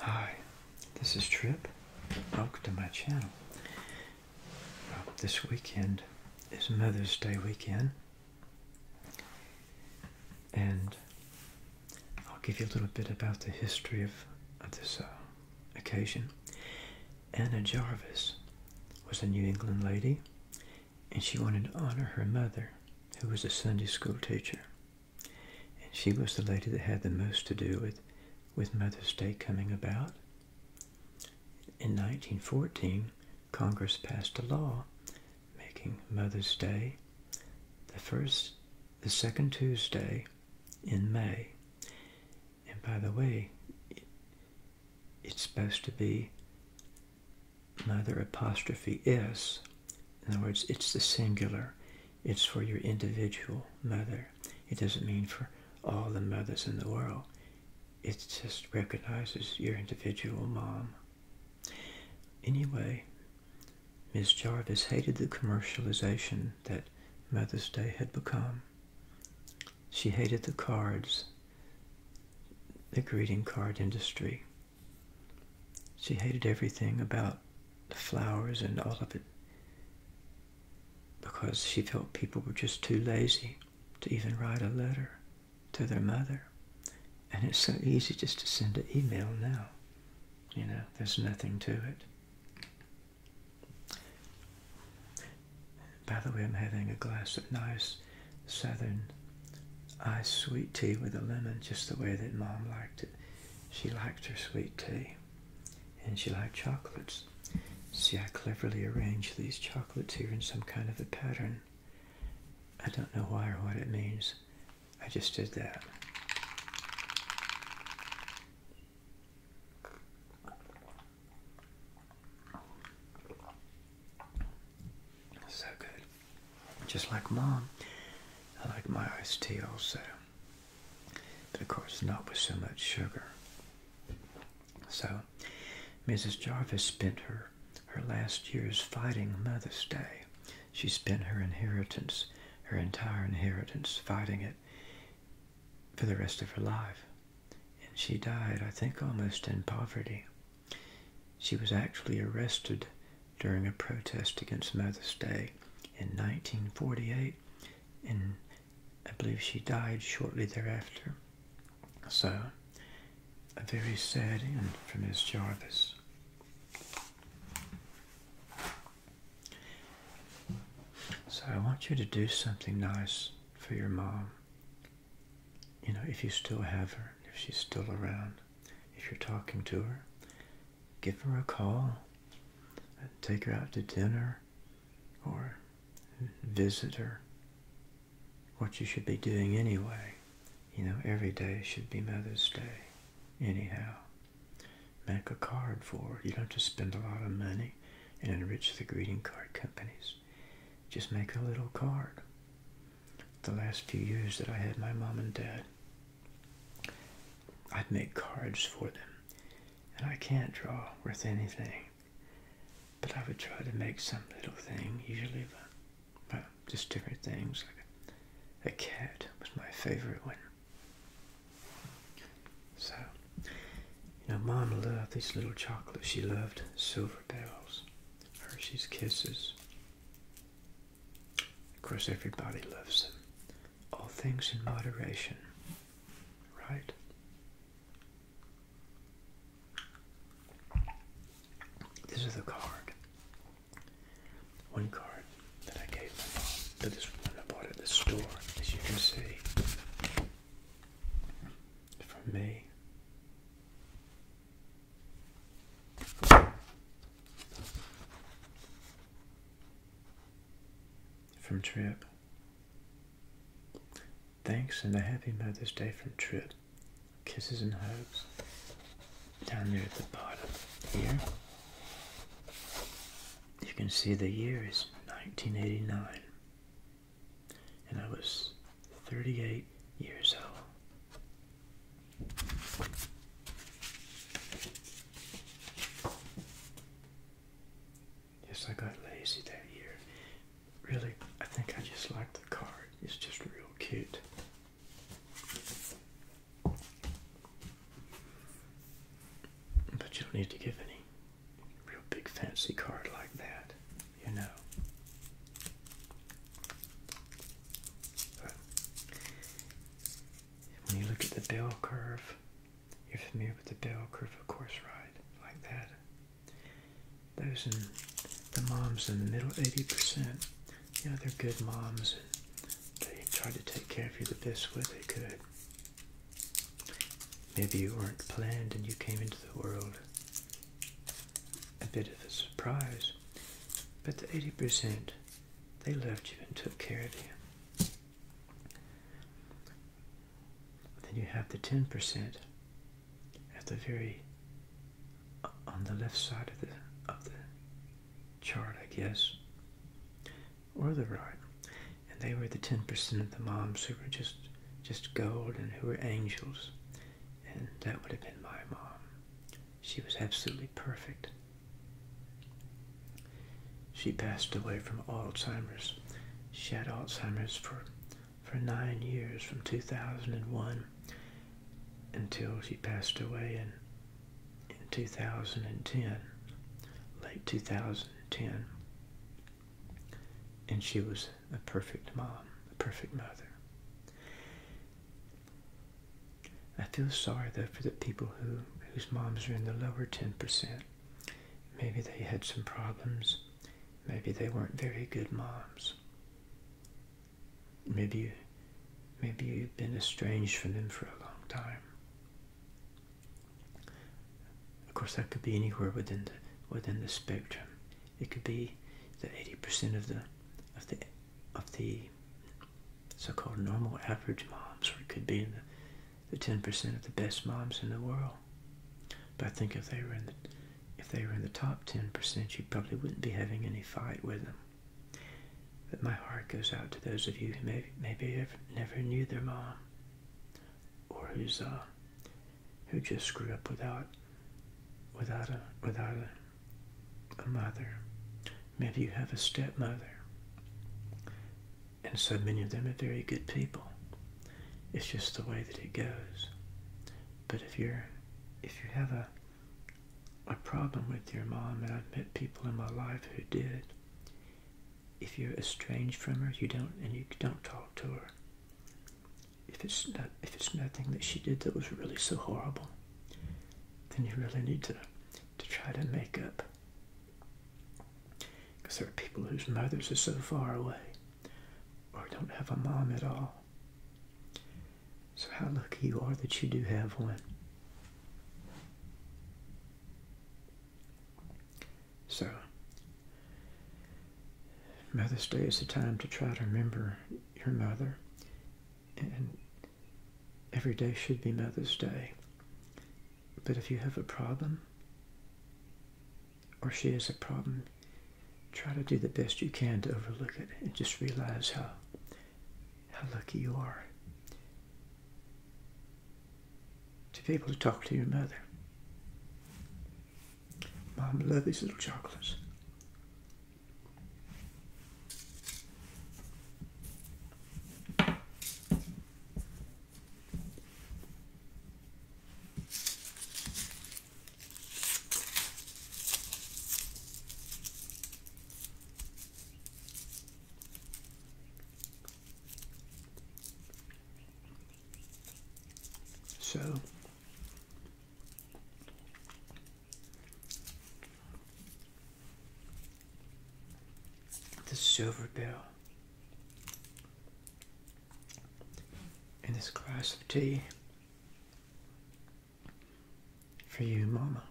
Hi, this is Trip. Welcome to my channel. this weekend is Mother's Day weekend, and I'll give you a little bit about the history of, this uh, occasion. Anna Jarvis was a New England lady, and she wanted to honor her mother, who was a Sunday school teacher. And she was the lady that had the most to do with, with Mother's Day coming about. In 1914, Congress passed a law making Mother's Day the first, the second Tuesday in May. And by the way, it's supposed to be Mother apostrophe is. In other words, it's the singular. It's for your individual mother. It doesn't mean for all the mothers in the world. It just recognizes your individual mom. Anyway, Miss Jarvis hated the commercialization that Mother's Day had become. She hated the cards, the greeting card industry. She hated everything about the flowers and all of it because she felt people were just too lazy to even write a letter to their mother. And it's so easy just to send an email now. You know, there's nothing to it. By the way, I'm having a glass of nice southern iced sweet tea with a lemon, just the way that mom liked it. She liked her sweet tea and she liked chocolates. See, I cleverly arranged these chocolates here in some kind of a pattern. I don't know why or what it means. I just did that. So good. Just like mom, I like my iced tea also. But of course, not with so much sugar. So, Mrs. Jarvis spent her, her last years fighting Mother's Day. She spent her inheritance, her entire inheritance, fighting it for the rest of her life. And she died, I think, almost in poverty. She was actually arrested during a protest against Mother's Day in 1948, and I believe she died shortly thereafter. So, a very sad end for Miss Jarvis. So I want you to do something nice for your mom you know, if you still have her, if she's still around, if you're talking to her, give her a call. Take her out to dinner or visit her. What you should be doing anyway. You know, every day should be Mother's Day, anyhow. Make a card for her. You don't just spend a lot of money and enrich the greeting card companies just make a little card. The last few years that I had my mom and dad, I'd make cards for them. And I can't draw worth anything. But I would try to make some little thing, usually but, just different things. Like a, a cat was my favorite one. So you know, Mama loved these little chocolates. She loved Silver Bells, Hershey's Kisses. Of course, everybody loves them. All things in moderation, right? This is the card. One card that I gave my mom, this one I bought at the store, as you can see from me. From Trip. Thanks and a happy Mother's Day from Trip. Kisses and hugs. Down there at the bottom here, you can see the year is 1989 and I was 38 years old. Yes, I got lazy that year. Really, I think I just liked the card. It's just real cute. But you don't need to give any real big fancy card like that, you know. But when you look at the bell curve, you're familiar with the bell curve, of course, right? Like that. Those in the moms in the middle 80%, Yeah, they're good moms and they tried to take care of you the best way they could. Maybe you weren't planned and you came into the world. A bit of a surprise. But the 80%, they loved you and took care of you. Then you have the 10% at the very, uh, on the left side of the, of the chart, I guess, or the right and they were the 10% of the moms who were just just gold and who were angels and that would have been my mom she was absolutely perfect she passed away from alzheimer's she had alzheimer's for for nine years from 2001 until she passed away in in 2010 late 2010 and she was a perfect mom, a perfect mother. I feel sorry though for the people who whose moms are in the lower 10%. Maybe they had some problems. Maybe they weren't very good moms. Maybe you, maybe you've been estranged from them for a long time. Of course, that could be anywhere within the within the spectrum. It could be the 80% of the of the of the so-called normal average moms, or it could be in the 10% of the best moms in the world. But I think if they were in the if they were in the top 10%, you probably wouldn't be having any fight with them. But my heart goes out to those of you who maybe, maybe never knew their mom or who's uh, who just screwed up without without a without a, a mother. Maybe you have a stepmother, and so many of them are very good people. It's just the way that it goes. But if you're if you have a a problem with your mom, and I've met people in my life who did, if you're estranged from her, you don't and you don't talk to her. If it's not, if it's nothing that she did that was really so horrible, then you really need to to try to make up. Because there are people whose mothers are so far away, or don't have a mom at all. So how lucky you are that you do have one. So, Mother's Day is a time to try to remember your mother, and every day should be Mother's Day. But if you have a problem, or she has a problem, try to do the best you can to overlook it and just realize how, how lucky you are to be able to talk to your mother. Mom, I these little chocolates. So the silver bell and this glass of tea for you, Mama.